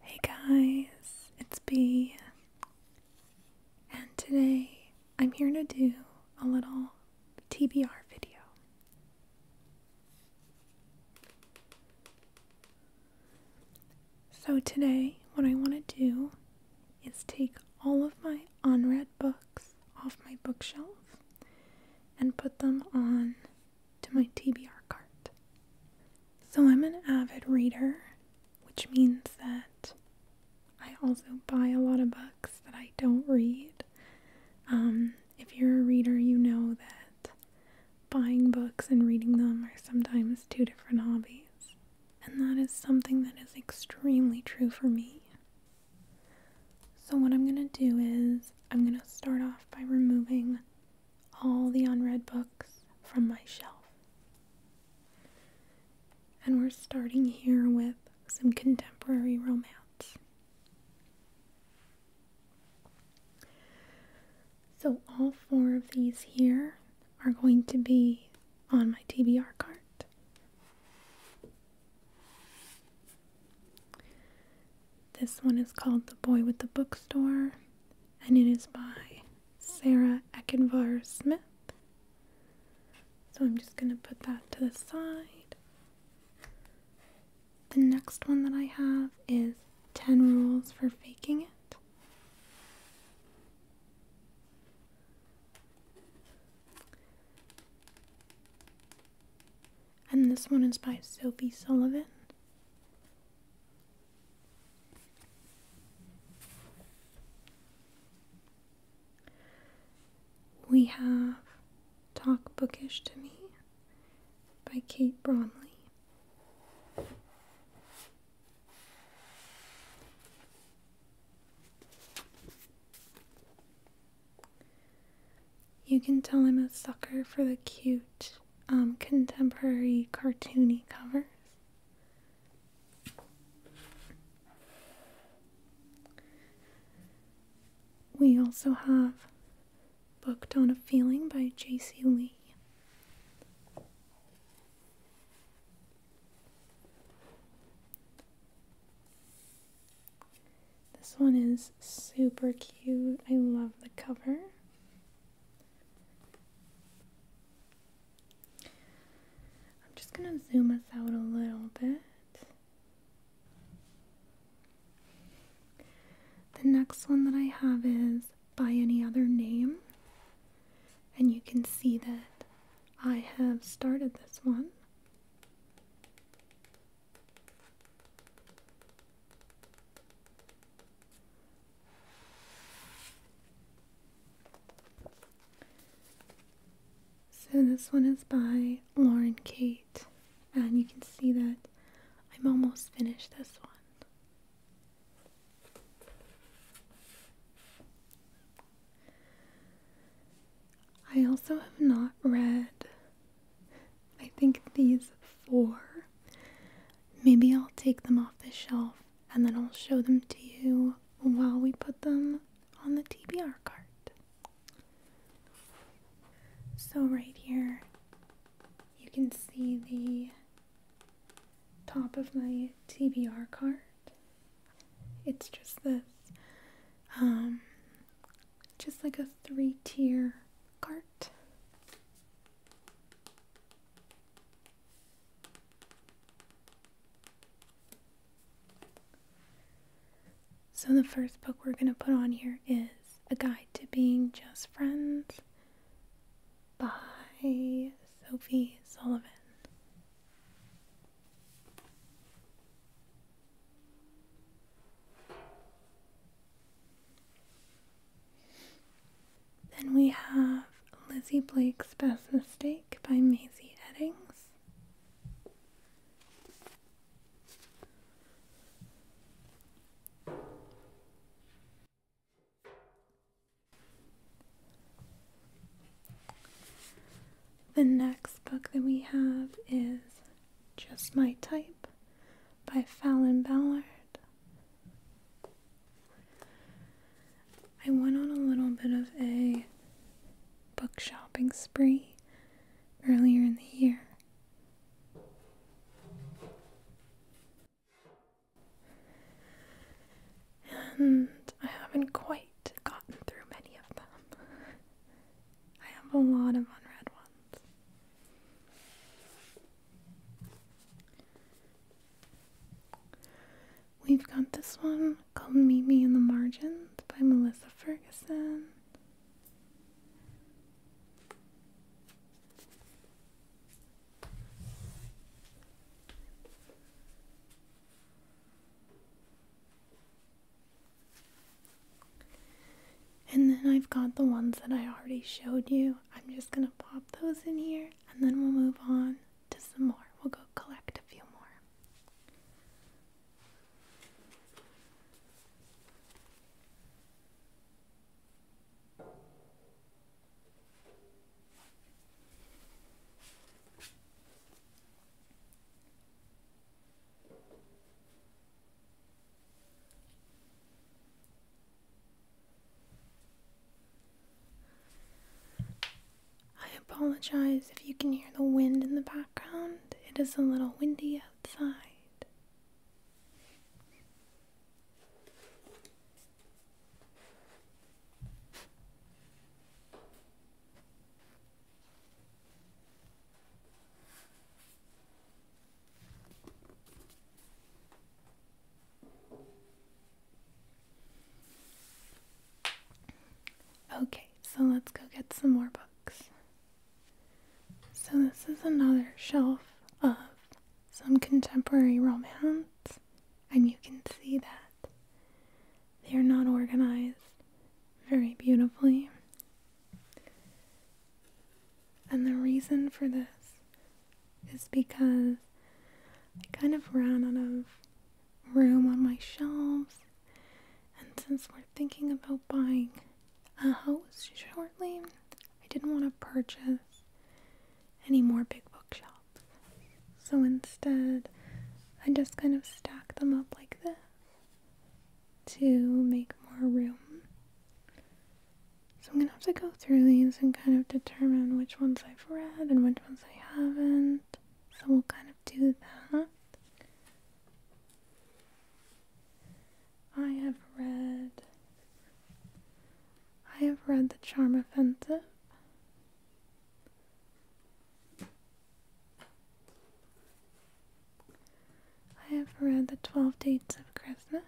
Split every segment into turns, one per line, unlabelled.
Hey guys, it's B, and today I'm here to do a little TBR video. So, today, what I want to do is take all of my unread books off my bookshelf and put them on to my TBR cart. So I'm an avid reader, which means that I also buy a lot of books that I don't read. Um, if you're a reader, you know that buying books and reading them are sometimes two different hobbies. And that is something that is extremely true for me. So, what I'm going to do is, I'm going to start off by removing all the unread books from my shelf. And we're starting here with some contemporary romance. So, all four of these here are going to be on my TBR cart. This one is called The Boy with the Bookstore, and it is by Sarah Eckenvar Smith. So I'm just going to put that to the side. The next one that I have is 10 Rules for Faking It. And this one is by Sophie Sullivan. We have Talk Bookish to Me by Kate Bromley. You can tell I'm a sucker for the cute um, contemporary cartoony covers. We also have Booked on a Feeling by J.C. Lee. This one is super cute. I love the cover. I'm just going to zoom us out a little bit. The next one that I have is by any other name. And you can see that I have started this one. So this one is by Lauren Kate, and you can see that I'm almost finished this one. I also have not read I think these four. Maybe I'll take them off the shelf and then I'll show them to you while we put them on the TBR cart. So, right here, you can see the top of my TBR cart. It's just this, um, just like a three tier cart. So, the first book we're going to put on here is A Guide to Being Just Friends by Sophie Sullivan. Then we have Lizzie Blake's Best Mistake by Maisie Eddings. The next book that we have is Just My Type by Fallon Ballard. I went on a little bit of a book shopping spree earlier in the year. And I haven't quite gotten through many of them. I have a lot of unread ones. We've got this one called "Meet Me in the Margins by Melissa Ferguson. And then I've got the ones that I already showed you. I'm just gonna pop those in here and then we'll move on to some more. We'll go collect a few more. I apologize if you can hear the wind in the background. It is a little windy outside. Okay, so let's go get some more books. So, this is another shelf of some contemporary romance, and you can see that they are not organized very beautifully. And the reason for this is because I kind of ran out of room on my shelves. And since we're thinking about buying a house shortly, I didn't want to purchase any more big bookshelves. So instead, I just kind of stack them up like this to make more room. So I'm going to have to go through these and kind of determine which ones I've read and which ones I haven't. So we'll kind of do that. I have read I have read The Charm of Offensive. I have read the 12 Dates of Christmas.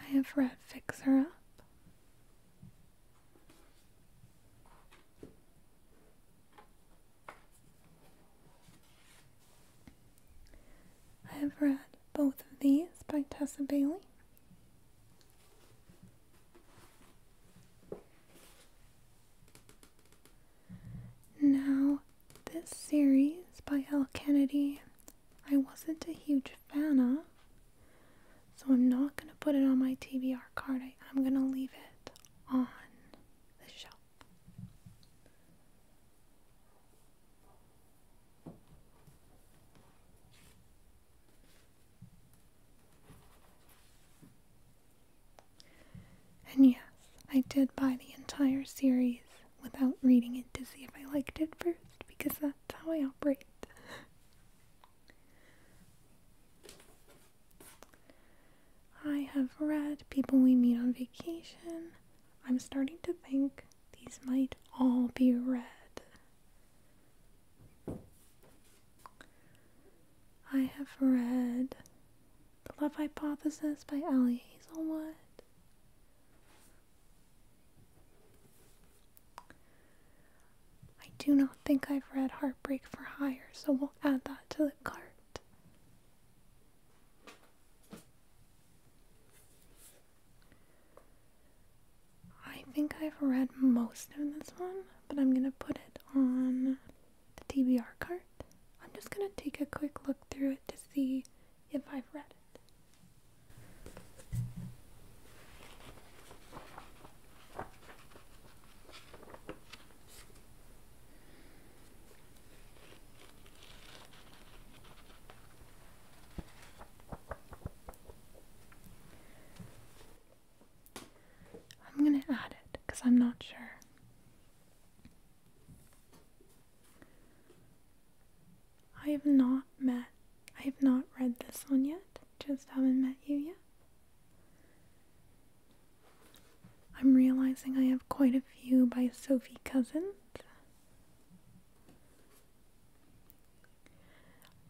I have read Fixer Up. I have read both of these by Tessa Bailey. Now, this series by Al Kennedy, I wasn't a huge fan of, so I'm not going to put it on my TBR card. I, I'm going to leave it on the shelf. And yes, I did buy the entire series without reading it to see if I liked it first, because that's how I operate. I have read People We Meet on Vacation. I'm starting to think these might all be read. I have read The Love Hypothesis by Allie Hazelwood. I do not think I've read Heartbreak for Hire, so we'll add that to the cart. I think I've read most of this one, but I'm gonna put it on the TBR cart. I'm just gonna take a quick look through it to see if I've read it. I'm going to add it because I'm not sure. I have not met, I have not read this one yet, just haven't met you yet. I'm realizing I have quite a few by Sophie Cousins.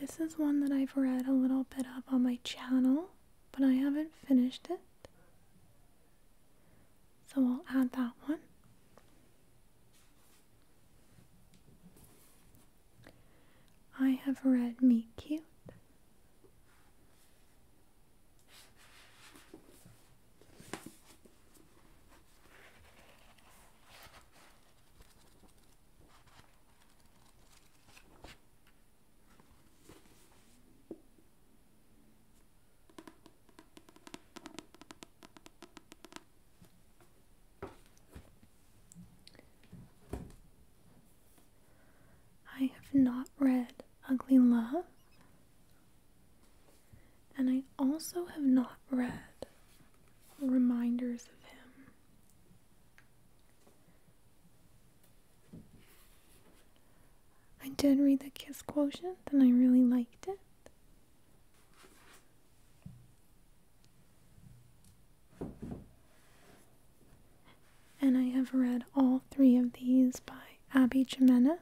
This is one that I've read a little bit of on my channel, but I haven't finished it. So I'll add that one. I have read *Me Cute. I have not read Ugly Love, and I also have not read Reminders of Him. I did read the kiss quotient and I really liked it. And I have read all three of these by Abby Jimenez.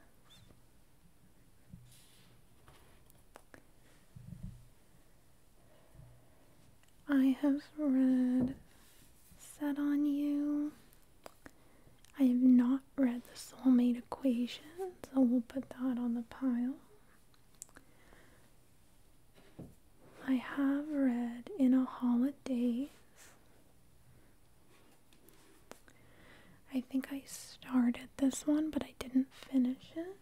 I have read Set on You. I have not read The Soulmate Equation, so we'll put that on the pile. I have read In a Holiday." I think I started this one, but I didn't finish it.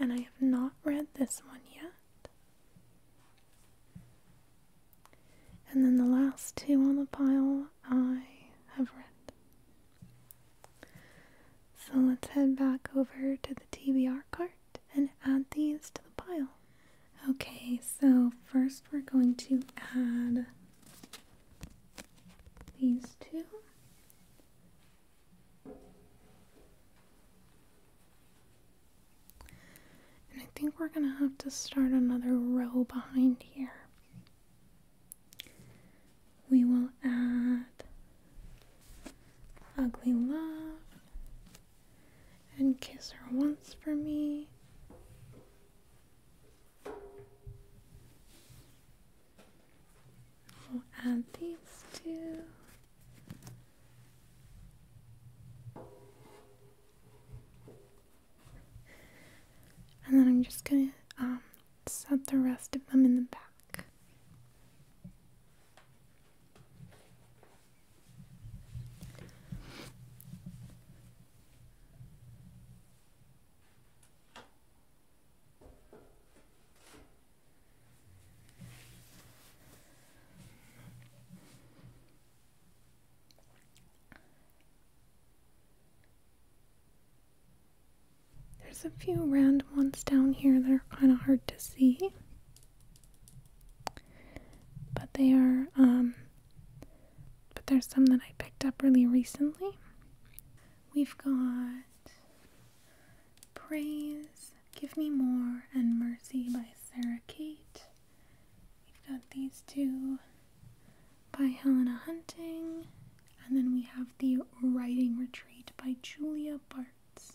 And I have not read this one yet. And then the last two on the pile I have read. So let's head back over to the TBR cart and add these to the pile. Okay, so first we're going to add these two. And I think we're gonna have to start another row behind here. We will add Ugly Love and Kiss Her Once for Me. We'll add these two. And then I'm just gonna um, set the rest of them in the back. There's a few random ones down here that are kind of hard to see, but they are, um, but there's some that I picked up really recently. We've got Praise, Give Me More, and Mercy by Sarah Kate. We've got these two by Helena Hunting. And then we have The Writing Retreat by Julia Bartz.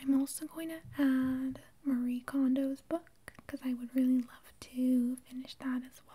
I'm also going to add Marie Kondo's book, because I would really love to finish that as well.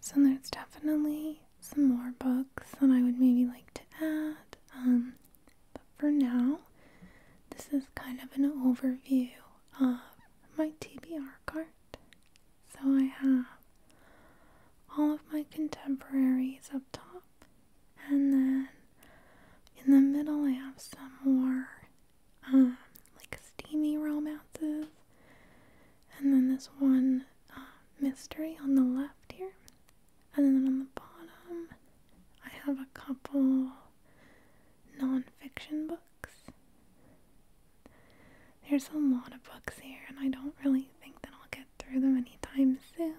So there's definitely some more books that I would maybe like to add. Um, but for now, this is kind of an overview of my TBR cart. So I have all of my contemporaries up top, and then in the middle, I have some more um, like steamy romances, and then this one uh, mystery on the left here, and then on the bottom, I have a couple nonfiction books. There's a lot of books here, and I don't really think that I'll get through them anytime soon,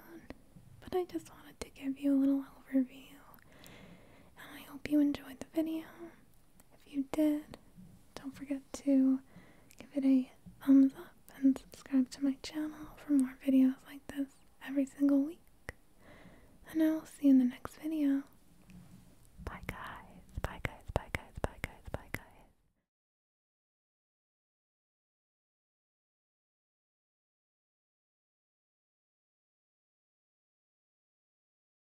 but I just wanted to give you a little overview, and I hope you enjoyed the video. If you did, don't forget to give it a thumbs up and subscribe to my channel for more videos like this every single week. And I will see you in the next video. Bye guys. Bye guys. Bye guys. Bye guys. Bye guys.